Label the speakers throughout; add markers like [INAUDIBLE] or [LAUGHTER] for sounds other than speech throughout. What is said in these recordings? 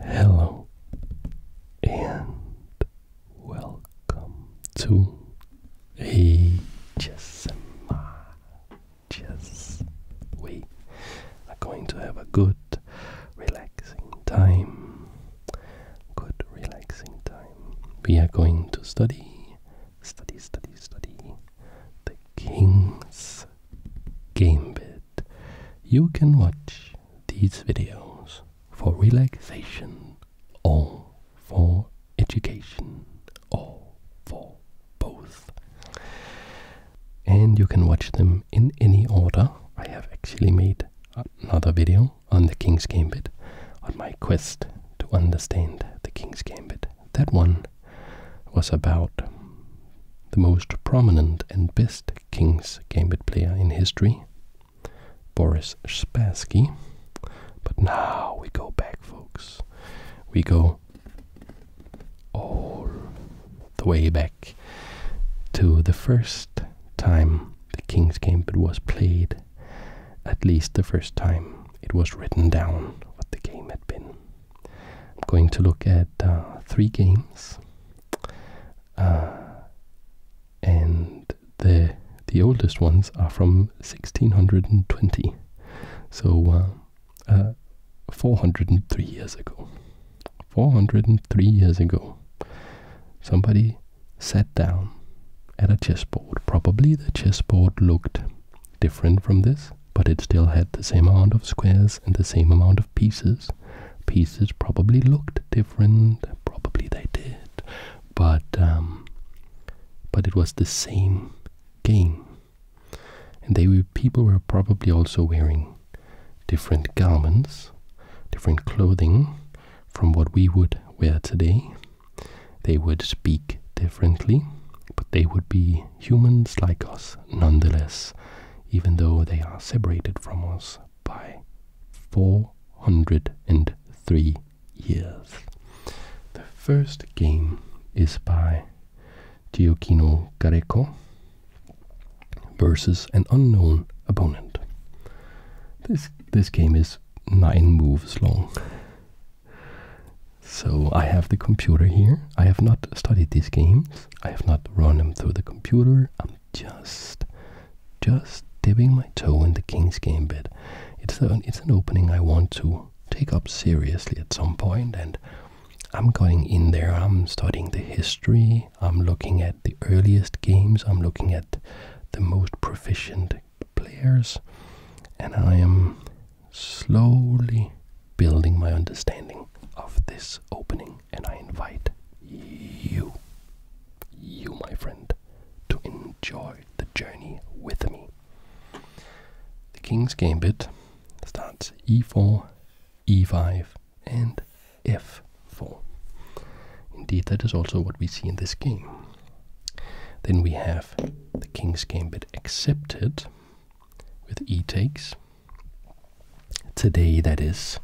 Speaker 1: Hello and welcome to ASMR. Yes, we are going to have a good, relaxing time. Good, relaxing time. We are going to study, study, study, study the King's GameBit. You can watch these videos for relaxation or for education or for both. And you can watch them in any order. I have actually made another video on the King's Gambit, on my quest to understand the King's Gambit. That one was about the most prominent and best Kings Gambit player in history, Boris Spassky. But now we go back, folks. We go all the way back to the first time the King's Gambit was played, at least the first time it was written down what the game had been. I'm going to look at uh, three games, uh, and the the oldest ones are from 1620, so uh, 403 years ago. 403 years ago, somebody sat down at a chessboard. Probably the chessboard looked different from this but it still had the same amount of squares and the same amount of pieces. Pieces probably looked different, probably they did, but um, but it was the same game. And they people were probably also wearing different garments, different clothing from what we would wear today. They would speak differently, but they would be humans like us nonetheless, even though they are separated from us by 403 years. The first game is by Tio Kino Kareko versus an unknown opponent. This this game is nine moves long. So I have the computer here. I have not studied these games. I have not run him through the computer. I'm just, just dipping my toe in the king's gambit. It's an it's an opening I want to take up seriously at some point, and I'm going in there. I'm studying the history. I'm looking at the earliest games. I'm looking at the most proficient players, and I am slowly building my understanding of this opening, and I invite you, you, my friend, to enjoy the journey with me. The King's Gambit starts e4, e5, and f4. Indeed, that is also what we see in this game. Then we have the King's Gambit accepted with e takes today that is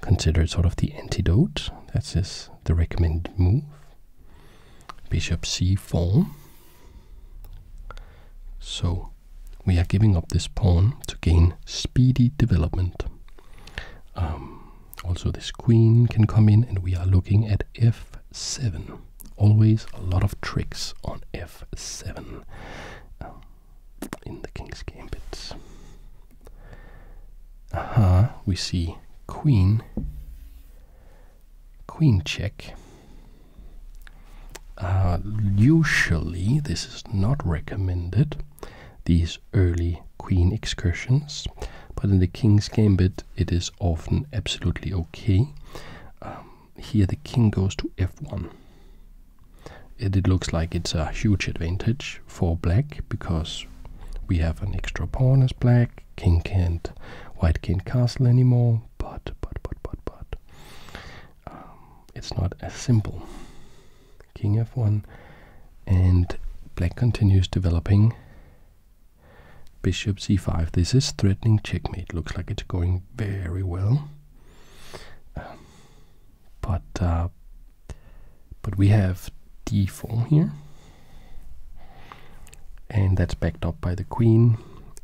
Speaker 1: considered sort of the antidote. That's the recommended move. Bishop c4. So we are giving up this pawn to gain speedy development. Um, also this queen can come in and we are looking at f7. Always a lot of tricks on f7 um, in the king's gambit. Aha, we see queen, queen check. Uh, usually, this is not recommended, these early queen excursions, but in the king's gambit, it is often absolutely okay. Um, here the king goes to f1. it looks like it's a huge advantage for black because we have an extra pawn as black. King can't, white can castle anymore. But, but, but, but, but, um, it's not as simple. King f1, and black continues developing. Bishop c5. This is threatening checkmate. Looks like it's going very well. Um, but uh, but we have d4 here, and that's backed up by the queen,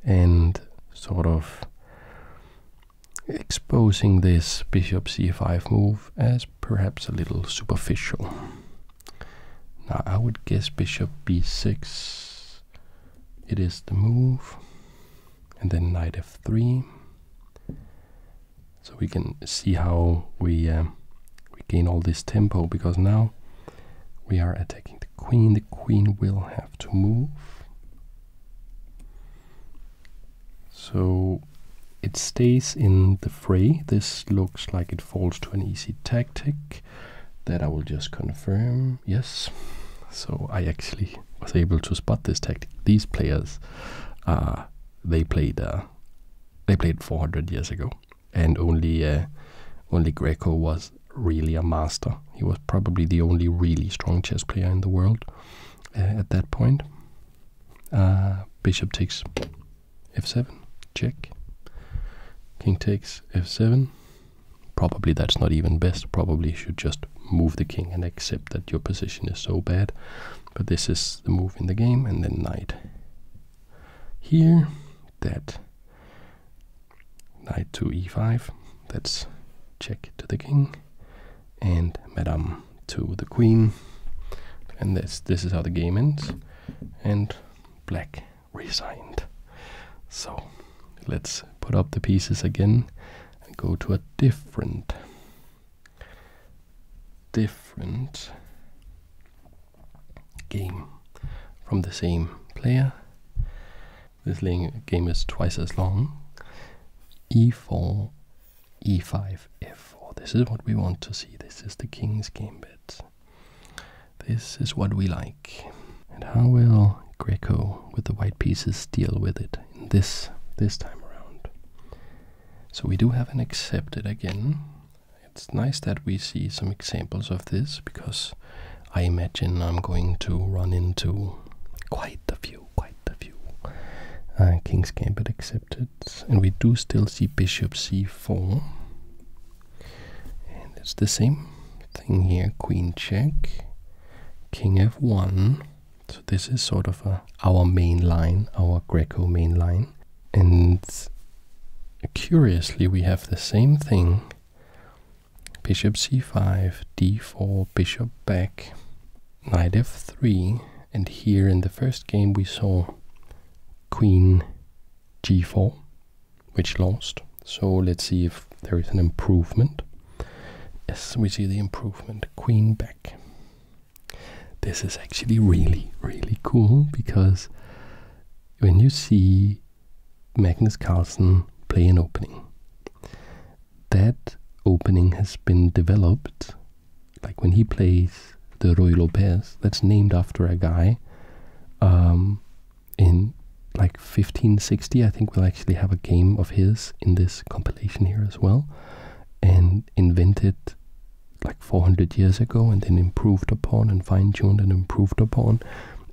Speaker 1: and sort of exposing this bishop c5 move as perhaps a little superficial. Now I would guess bishop b6 it is the move and then knight f3 so we can see how we uh, we gain all this tempo because now we are attacking the queen the queen will have to move so it stays in the fray this looks like it falls to an easy tactic that I will just confirm. Yes. So I actually was able to spot this tactic. These players, uh, they played uh, they played 400 years ago, and only uh, only Greco was really a master. He was probably the only really strong chess player in the world uh, at that point. bishop takes f7, check. King takes f7, Probably that's not even best. Probably you should just move the king and accept that your position is so bad. But this is the move in the game, and then knight here. That knight to e5. That's check to the king, and madam to the queen. And this this is how the game ends. And black resigned. So let's put up the pieces again and go to a different different game from the same player. This game is twice as long. e4, e5, f4. This is what we want to see. This is the king's gambit. This is what we like. And how will Greco with the white pieces deal with it this this time around? So we do have an accepted again. It's nice that we see some examples of this because I imagine I'm going to run into quite a few, quite a few. Uh, King's Gambit accepted. And we do still see bishop c4. And it's the same thing here, queen check, king f1. So this is sort of our main line, our Greco main line. And curiously, we have the same thing. Bishop c5, d4, bishop back, knight f3. And here in the first game we saw queen g4 which lost so let's see if there is an improvement yes we see the improvement queen back this is actually really really cool because when you see magnus carlsen play an opening that opening has been developed like when he plays the Royal Lopez, that's named after a guy um, in like 1560, I think we'll actually have a game of his in this compilation here as well, and invented like 400 years ago and then improved upon and fine-tuned and improved upon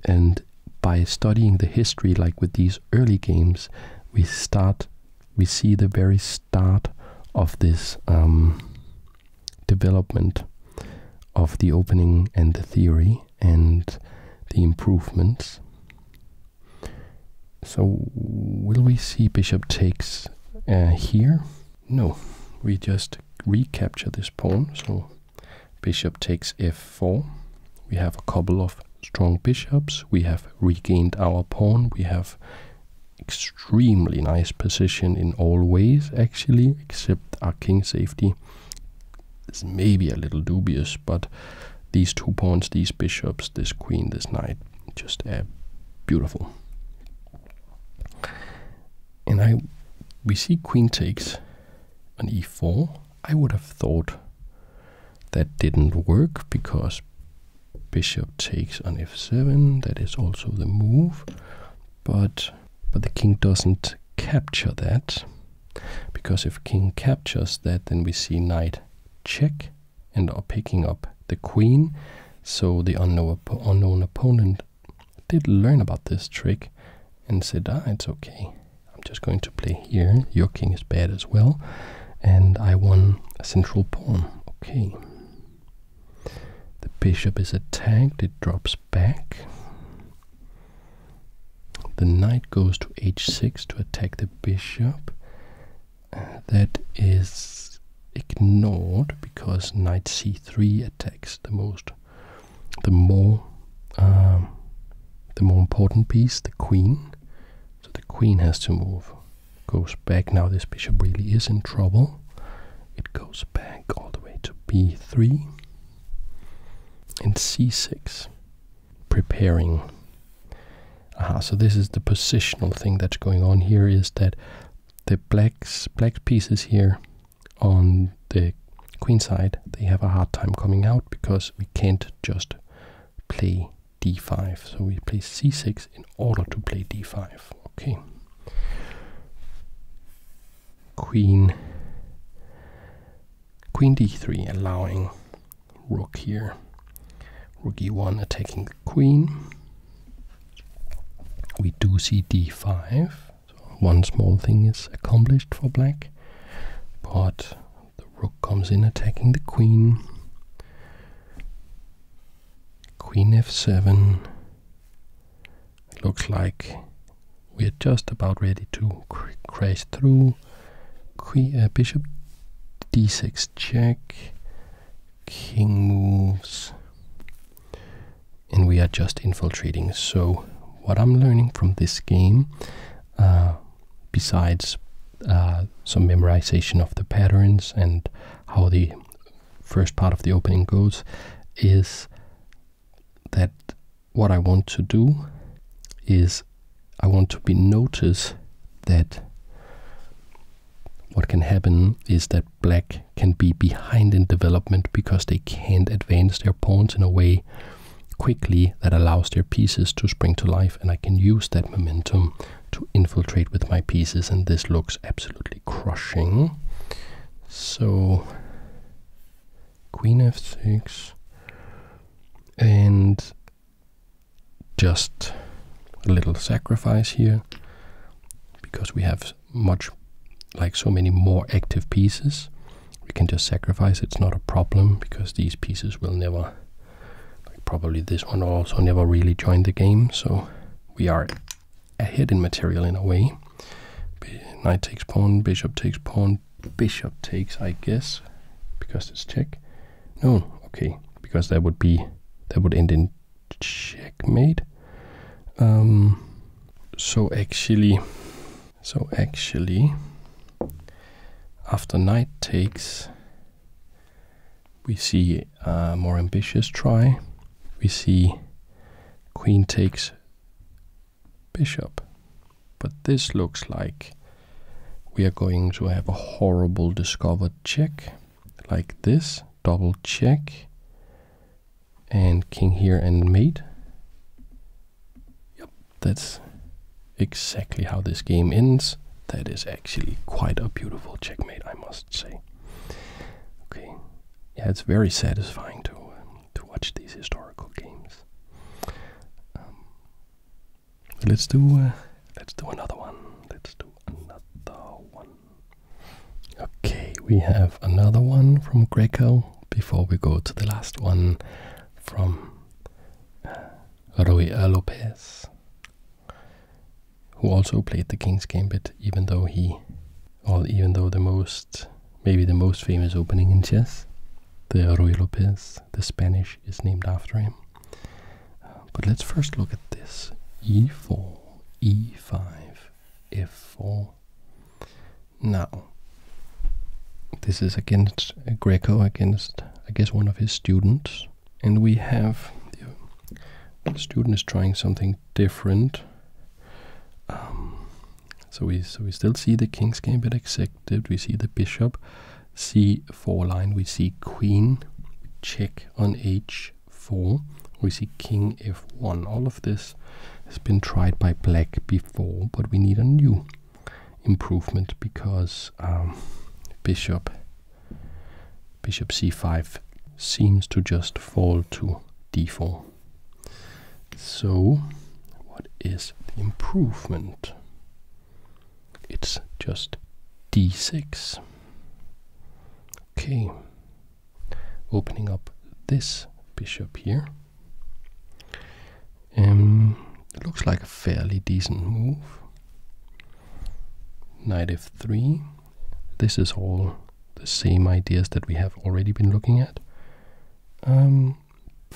Speaker 1: and by studying the history like with these early games we start we see the very start of this um, development of the opening and the theory and the improvements. So, will we see bishop takes uh, here? No, we just recapture this pawn. So, bishop takes f4. We have a couple of strong bishops. We have regained our pawn. We have extremely nice position in all ways, actually, except our king safety is maybe a little dubious, but these two pawns, these bishops, this queen, this knight, just uh, beautiful. And I, we see queen takes on e4. I would have thought that didn't work because bishop takes on f7. That is also the move, but but the king doesn't capture that, because if king captures that, then we see knight check and are picking up the queen. So the unknown, unknown opponent did learn about this trick and said, ah, it's okay. I'm just going to play here. Your king is bad as well. And I won a central pawn. Okay. The bishop is attacked. It drops back. The knight goes to h6 to attack the bishop. Uh, that is ignored because knight c3 attacks the most, the more, um, the more important piece, the queen. So the queen has to move. Goes back now. This bishop really is in trouble. It goes back all the way to b3 and c6, preparing. Aha, so this is the positional thing that's going on here is that the blacks, black pieces here on the queen side, they have a hard time coming out because we can't just play d5. So we play c6 in order to play d5. Okay queen queen d3 allowing rook here rook e1 attacking queen we do see d5 so one small thing is accomplished for black but the rook comes in attacking the queen queen f7 looks like we're just about ready to cr crash through. Que uh, bishop d6 check. King moves. And we are just infiltrating. So what I'm learning from this game, uh, besides uh, some memorization of the patterns and how the first part of the opening goes, is that what I want to do is I want to be noticed that what can happen is that black can be behind in development because they can't advance their pawns in a way quickly that allows their pieces to spring to life and I can use that momentum to infiltrate with my pieces and this looks absolutely crushing. So queen f6 and just a little sacrifice here because we have much like so many more active pieces we can just sacrifice it's not a problem because these pieces will never like probably this one also never really join the game so we are a hidden material in a way. Knight takes pawn, bishop takes pawn, bishop takes, I guess, because it's check. No, okay, because that would be that would end in checkmate. Um, so actually, so actually, after knight takes, we see a more ambitious try. We see queen takes bishop. But this looks like we are going to have a horrible discovered check like this. Double check. And king here and mate. Yep, that's exactly how this game ends. That is actually quite a beautiful checkmate, I must say. Okay, yeah, it's very satisfying to to watch these historical games. Um, let's do uh, let's do another one. Let's do another one. Okay, we have another one from Greco before we go to the last one from uh, Rui Roy Lopez, who also played the King's Gambit, even though he all, even though the most, maybe the most famous opening in chess, the Ruy Lopez, the Spanish, is named after him. Uh, but let's first look at this e4, e5, f4. Now, this is against uh, Greco, against, I guess, one of his students. And we have the student is trying something different. Um, so we so we still see the king's game gambit executed. We see the bishop, c4 line. We see queen, check on h4. We see king f1. All of this has been tried by black before, but we need a new improvement because um, bishop bishop c5 seems to just fall to d4 so, what is the improvement? It's just d6. Okay, opening up this bishop here. it um, looks like a fairly decent move. Knight f3. This is all the same ideas that we have already been looking at. Um,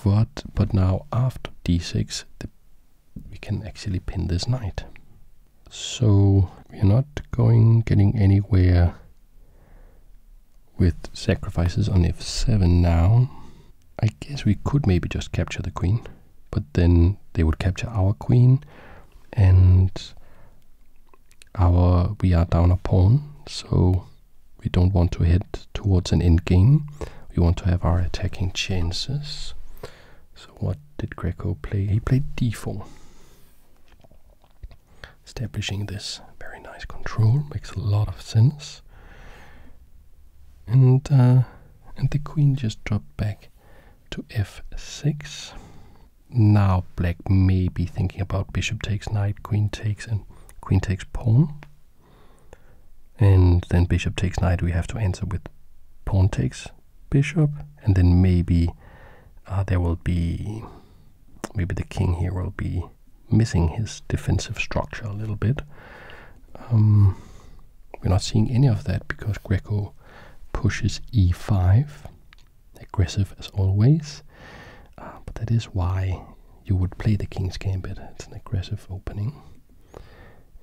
Speaker 1: but, but now after d6, we can actually pin this knight. So we're not going getting anywhere with sacrifices on f7 now. I guess we could maybe just capture the queen, but then they would capture our queen, and our we are down a pawn, so we don't want to head towards an endgame. We want to have our attacking chances. So what did Greco play? He played d4. Establishing this very nice control makes a lot of sense. And uh, and the queen just dropped back to f6 now black may be thinking about bishop takes knight, queen takes, and queen takes pawn. And then bishop takes knight, we have to answer with pawn takes bishop. And then maybe uh, there will be, maybe the king here will be missing his defensive structure a little bit. Um, we're not seeing any of that because Greco pushes e5 aggressive as always. Uh, but that is why you would play the King's Gambit. It's an aggressive opening.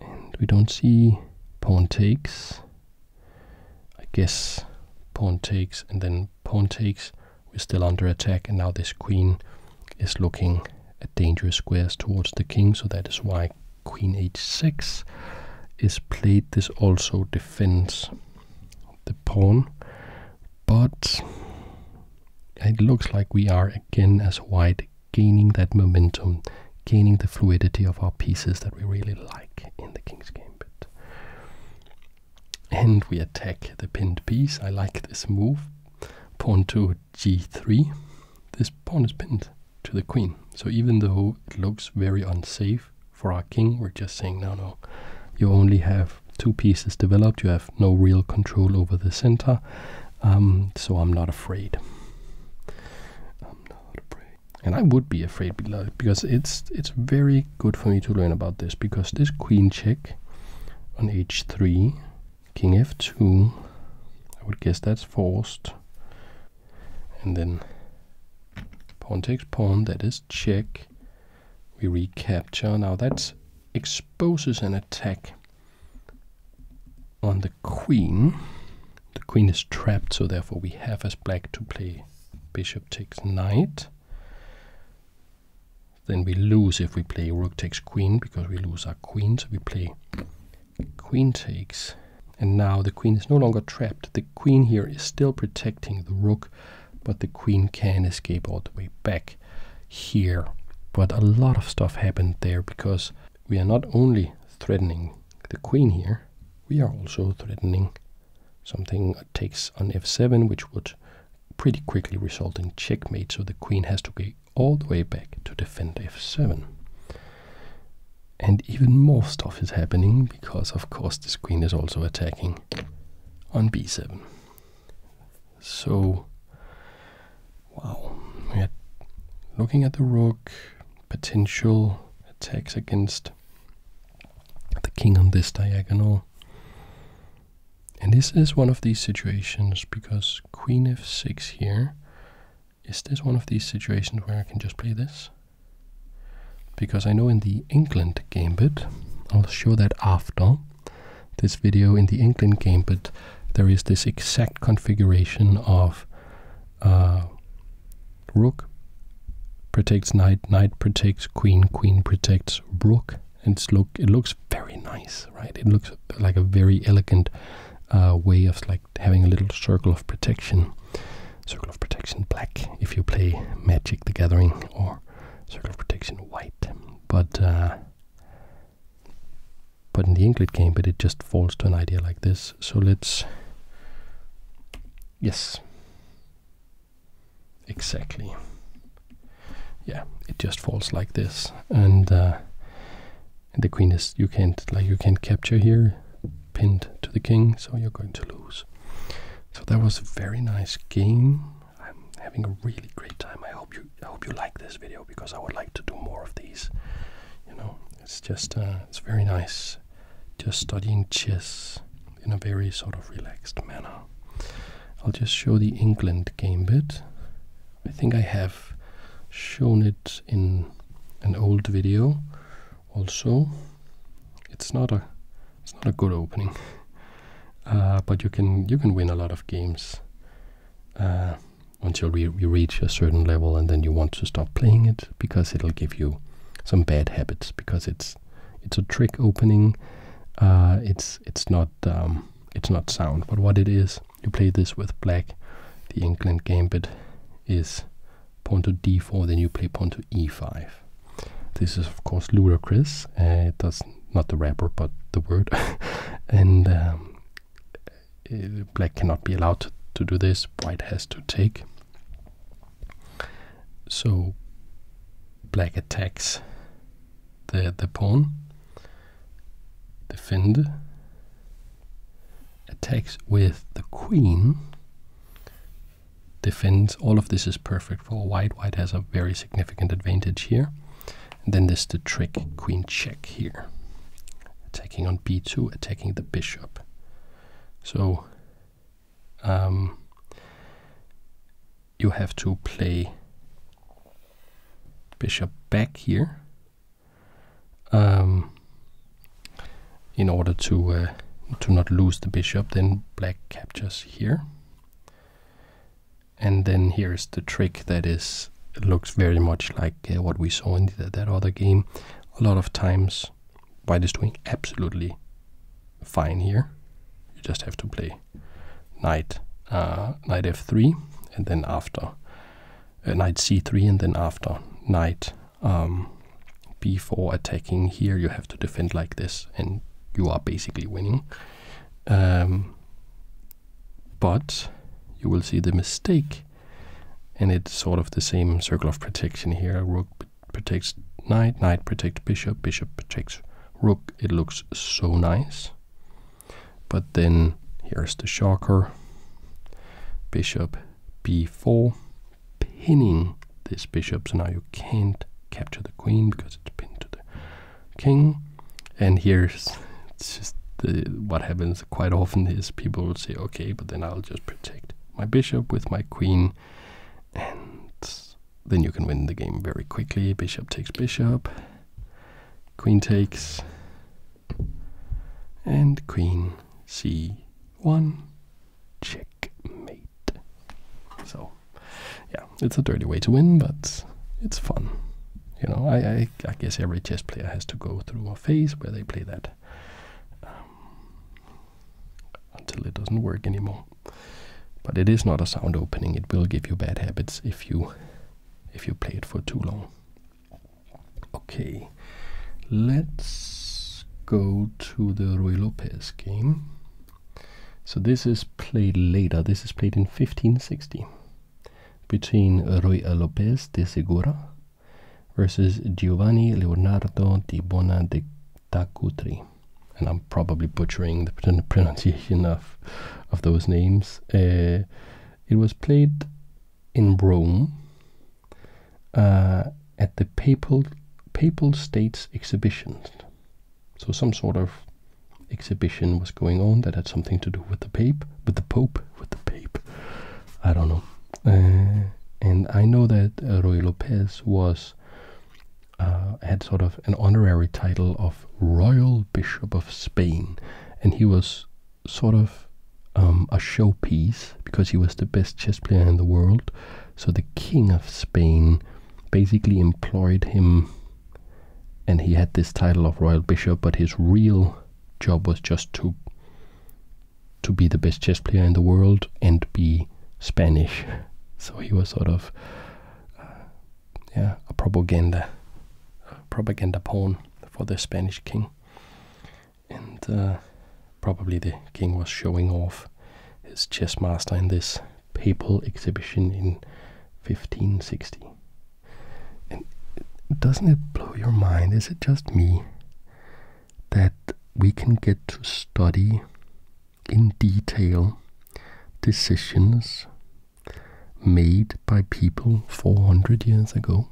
Speaker 1: And we don't see pawn takes. I guess pawn takes and then pawn takes. We're still under attack and now this queen is looking at dangerous squares towards the king. So that is why queen h6 is played. This also defends the pawn, but it looks like we are again as white gaining that momentum, gaining the fluidity of our pieces that we really like in the king's game. And we attack the pinned piece. I like this move. Pawn to g3. This pawn is pinned to the queen. So even though it looks very unsafe, for our king. We're just saying, no, no, you only have two pieces developed. You have no real control over the center. Um, so I'm not afraid. I'm not afraid. And I would be afraid because it's it's very good for me to learn about this because this queen check on h3, king f2, I would guess that's forced and then pawn takes pawn, that is check. We recapture. Now that exposes an attack on the queen. The queen is trapped, so therefore we have as black to play bishop takes knight. Then we lose if we play rook takes queen because we lose our queen, so we play queen takes and now the queen is no longer trapped. The queen here is still protecting the rook, but the queen can escape all the way back here. But a lot of stuff happened there because we are not only threatening the queen here, we are also threatening something takes on f7, which would pretty quickly result in checkmate. So the queen has to go all the way back to defend f7. And even more stuff is happening because, of course, the queen is also attacking on b7. So, wow, we're looking at the rook, potential attacks against the king on this diagonal. And this is one of these situations because queen f6 here. Is this one of these situations where I can just play this? Because I know in the England gambit, I'll show that after this video, in the England gambit, there is this exact configuration of uh, rook protects knight, knight protects queen, queen protects rook. And it's look, it looks very nice, right? It looks like a very elegant uh, way of like having a little circle of protection. Circle of Protection black if you play Magic the Gathering, or Circle of Protection white. But uh, but in the Ingrid game, but it just falls to an idea like this. So let's yes, exactly. Yeah, it just falls like this, and, uh, and the queen is you can't like you can't capture here pinned to the king, so you're going to lose. So that was a very nice game. I'm having a really great time. I hope you I hope you like this video because I would like to do more of these. You know, it's just uh, it's very nice, just studying chess in a very sort of relaxed manner. I'll just show the England game bit. I think I have shown it in an old video also it's not a it's not a good opening uh, but you can you can win a lot of games uh, until you, you reach a certain level and then you want to stop playing it because it'll give you some bad habits because it's it's a trick opening uh, it's it's not um, it's not sound but what it is you play this with black the England Gambit is pawn to d4, then you play pawn to e5. This is of course ludicrous. Uh, That's not the rapper, but the word. [LAUGHS] and um, uh, black cannot be allowed to, do this. White has to take. So black attacks the the pawn, defend, attacks with the queen, defends. All of this is perfect for white. White has a very significant advantage here. then there's the trick queen check here. Attacking on b2, attacking the bishop. So um, you have to play bishop back here um, in order to uh, to not lose the bishop. Then black captures here, and then here is the trick that is looks very much like uh, what we saw in that other game. A lot of times, white is doing absolutely fine here. You just have to play knight uh, knight f3, and then after knight c3, and then after knight um, before attacking here you have to defend like this and you are basically winning um, but you will see the mistake and it's sort of the same circle of protection here rook protects knight knight protects bishop bishop protects rook it looks so nice but then here's the shocker bishop b4 pinning this bishop. So now you can't capture the queen because it's pinned to the king. And here's just what happens quite often is people will say, okay, but then I'll just protect my bishop with my queen. And then you can win the game very quickly. Bishop takes bishop, queen takes, and queen c one checkmate. So, yeah, it's a dirty way to win, but it's fun. You know, I, I, guess every chess player has to go through a phase where they play that um, until it doesn't work anymore. But it is not a sound opening. It will give you bad habits if you if you play it for too long. Okay, let's go to the Ruy Lopez game. So this is played later. This is played in 1560 between Ruy Lopez de Segura versus Giovanni Leonardo di Bona Tacutri. And I'm probably butchering the pronunciation of, of those names. Uh, it was played in Rome uh, at the Papal, Papal States exhibitions. So some sort of exhibition was going on that had something to do with the Pope, with the Pope, with the Pope. I don't know. Uh, and I know that uh, Roy Lopez was had sort of an honorary title of Royal Bishop of Spain, and he was sort of um, a showpiece because he was the best chess player in the world. So the king of Spain basically employed him, and he had this title of royal bishop. But his real job was just to to be the best chess player in the world and be Spanish. [LAUGHS] So he was sort of uh, yeah a propaganda a propaganda pawn for the Spanish king and uh, probably the king was showing off his chess master in this papal exhibition in 1560. And doesn't it blow your mind? Is it just me that we can get to study in detail decisions made by people 400 years ago?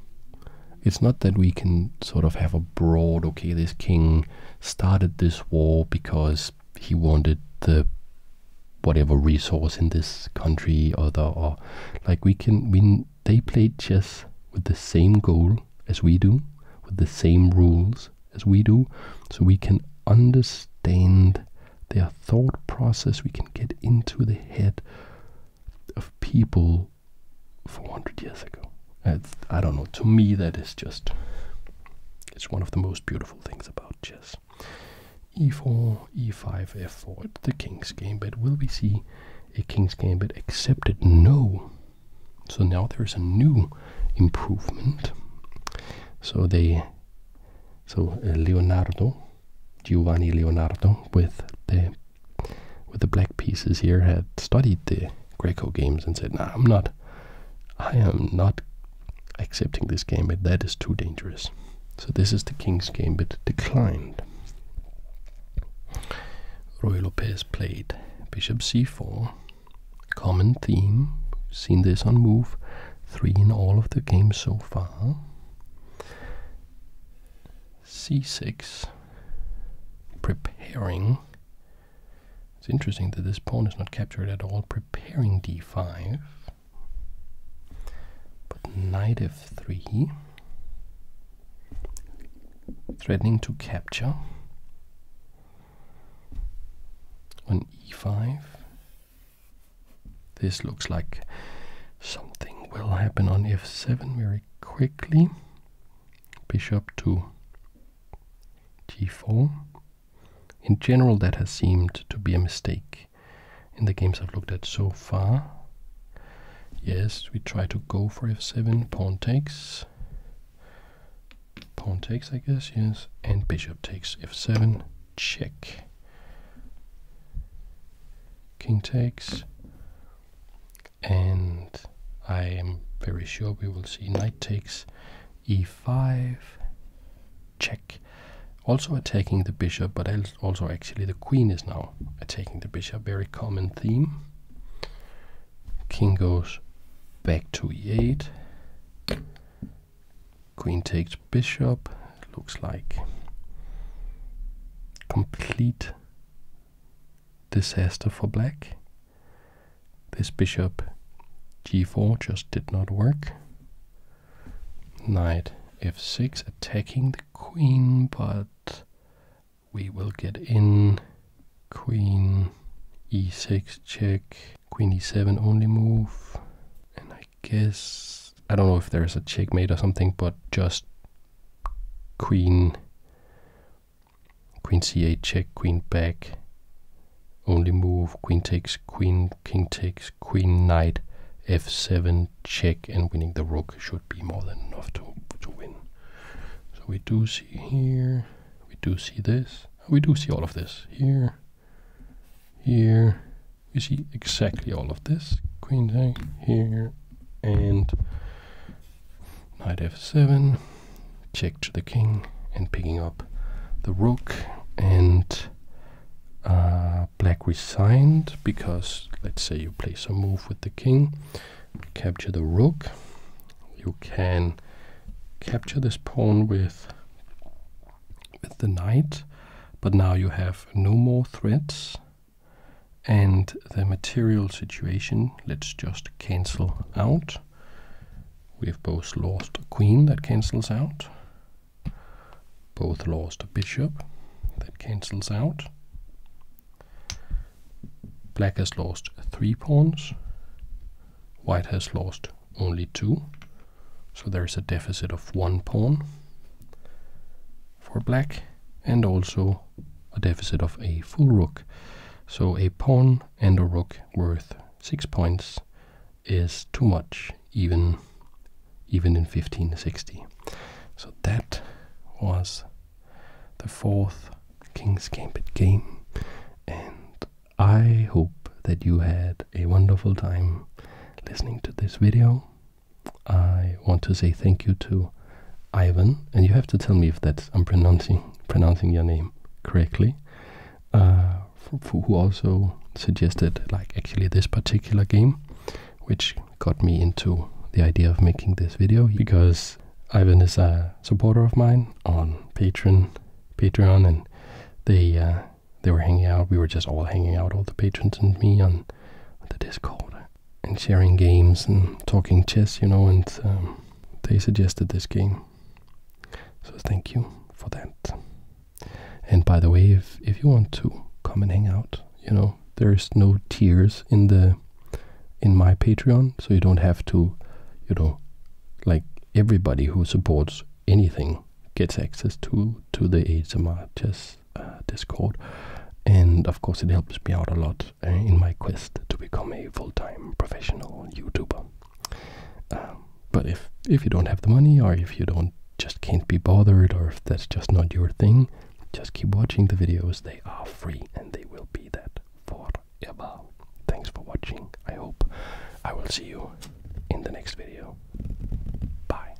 Speaker 1: It's not that we can sort of have a broad, okay, this king started this war because he wanted the whatever resource in this country or the or like we can we they played chess with the same goal as we do with the same rules as we do so we can understand their thought process we can get into the head of people 400 years ago. I don't know, to me that is just, it's one of the most beautiful things about chess. e4, e5, f4, the king's gambit. Will we see a king's gambit accepted? No. So now there's a new improvement. So they, so uh, Leonardo, Giovanni Leonardo with the with the black pieces here had studied the Greco games and said, "Nah, I'm not. I am not accepting this gambit. That is too dangerous." So this is the king's gambit declined. Roy Lopez played bishop c4. Common theme. seen this on move three in all of the games so far. c6 preparing. It's interesting that this pawn is not captured at all. Preparing d5. But knight f3. Threatening to capture. On e5. This looks like something will happen on f7. we quickly. Bishop to g4. In general, that has seemed to be a mistake in the games I've looked at so far. Yes, we try to go for f7, pawn takes, pawn takes, I guess, yes, and bishop takes f7, check, king takes, and I am very sure we will see knight takes e5 check also attacking the bishop but also actually the queen is now attacking the bishop very common theme king goes back to e8 queen takes bishop looks like complete disaster for black. This bishop g4 just did not work. Knight f6 attacking the queen, but we will get in. Queen e6 check, queen e7 only move, and I guess I don't know if there's a checkmate or something, but just queen, queen c8 check, queen back, only move, queen takes, queen, king takes, queen knight, f7 check, and winning the rook should be more than enough to, to win. So we do see here, we do see this, we do see all of this here, here, we see exactly all of this, queen eh, here, and knight f7 check to the king and picking up the rook and uh, black resigned because let's say you play some move with the king capture the rook you can capture this pawn with the knight but now you have no more threats and the material situation let's just cancel out. We've both lost a queen that cancels out. Both lost a bishop that cancels out. Black has lost three pawns. White has lost only two. So there's a deficit of one pawn for black and also a deficit of a full rook. So a pawn and a rook worth 6 points is too much even even in 1560. So that was the fourth King's Gambit game and I hope that you had a wonderful time listening to this video. I want to say thank you to Ivan, and you have to tell me if that I'm pronouncing pronouncing your name correctly. Uh, who also suggested like actually this particular game, which got me into the idea of making this video because Ivan is a supporter of mine on Patreon, Patreon, and they uh, they were hanging out. We were just all hanging out, all the patrons and me on the Discord, and sharing games and talking chess, you know, and um, they suggested this game. So thank you for that. And by the way, if, if you want to come and hang out, you know, there's no tiers in the in my Patreon, so you don't have to, you know, like everybody who supports anything gets access to to the HMR chess uh, Discord, and of course, it helps me out a lot uh, in my quest to become a full-time professional YouTuber. Um, but if if you don't have the money, or if you don't just can't be bothered, or if that's just not your thing, just keep watching the videos. They are free, and they will be that forever. Thanks for watching. I hope I will see you in the next video. Bye.